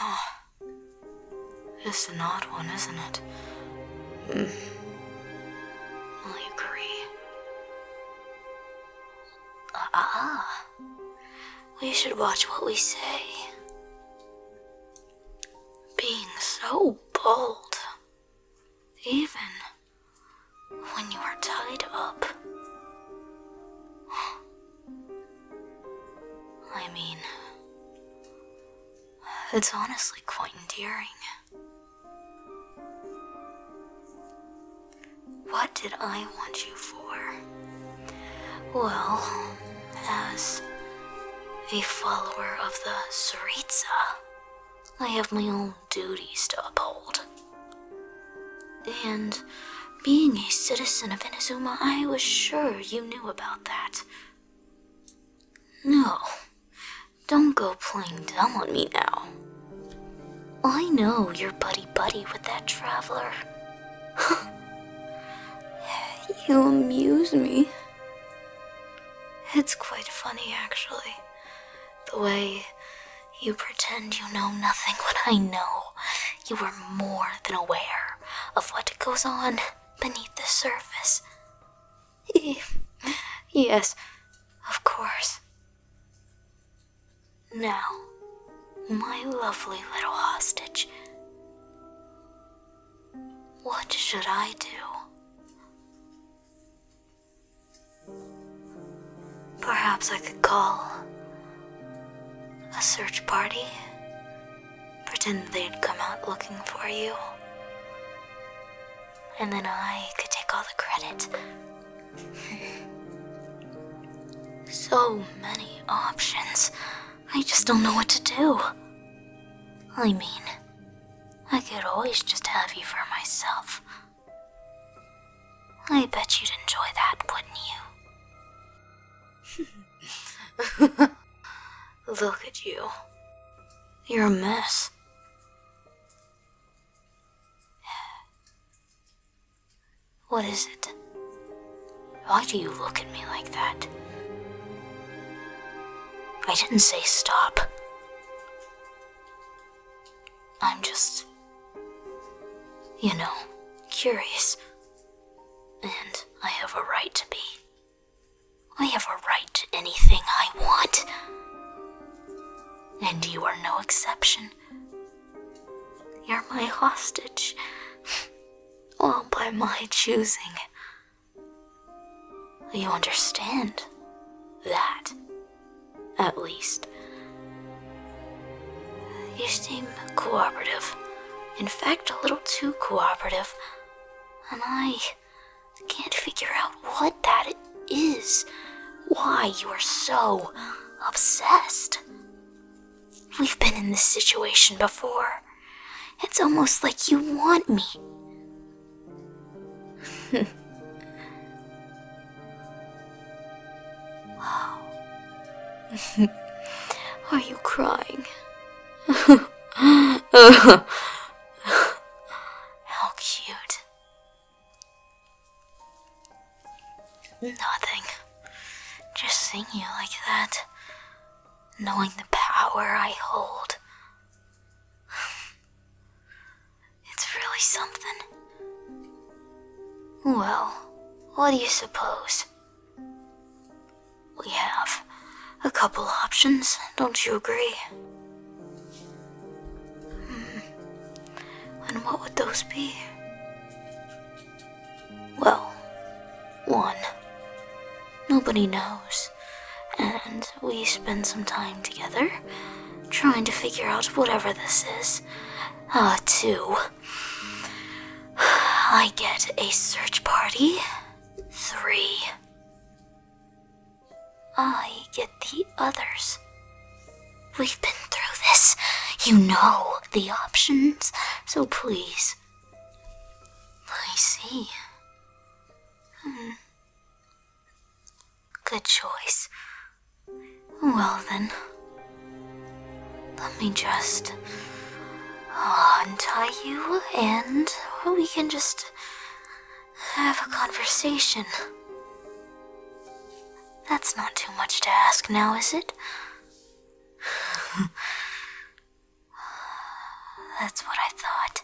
Oh, it's an odd one, isn't it? Mm. you agree. Ah, uh -uh. we should watch what we say. Being so bold, even when you are tied up. I mean, it's honestly quite endearing. What did I want you for? Well, as a follower of the Saritsa, I have my own duties to uphold. And being a citizen of Inazuma, I was sure you knew about that. No, don't go playing dumb on me now. I know you're buddy-buddy with that traveler. you amuse me. It's quite funny, actually. The way you pretend you know nothing when I know you are more than aware of what goes on beneath the surface. yes, of course. Now, my lovely little hostage, what should I do? Perhaps I could call a search party. Pretend they'd come out looking for you. And then I could take all the credit. so many options. I just don't know what to do. I mean, I could always just have you for myself. I bet you'd enjoy that, wouldn't you? Look at you. You're a mess. What is it? Why do you look at me like that? I didn't say stop. I'm just, you know, curious. And I have a right to be. I have a right to anything I want. And you are no exception. You're my hostage. All by my choosing. You understand that. At least. You seem cooperative. In fact, a little too cooperative. And I can't figure out what that is. Why you are so obsessed. We've been in this situation before. It's almost like you want me. Are you crying? How cute. Nothing. Just seeing you like that, knowing the power I hold. It's really something. Well, what do you suppose? We have a couple options, don't you agree? Hmm. And what would those be? Well, one. Nobody knows and we spend some time together trying to figure out whatever this is. Uh, two. I get a search party. Three. I get the others. We've been through this. You know the options, so please. I see. Hmm. Good choice. Well then, let me just uh, untie you and we can just have a conversation. That's not too much to ask now, is it? That's what I thought.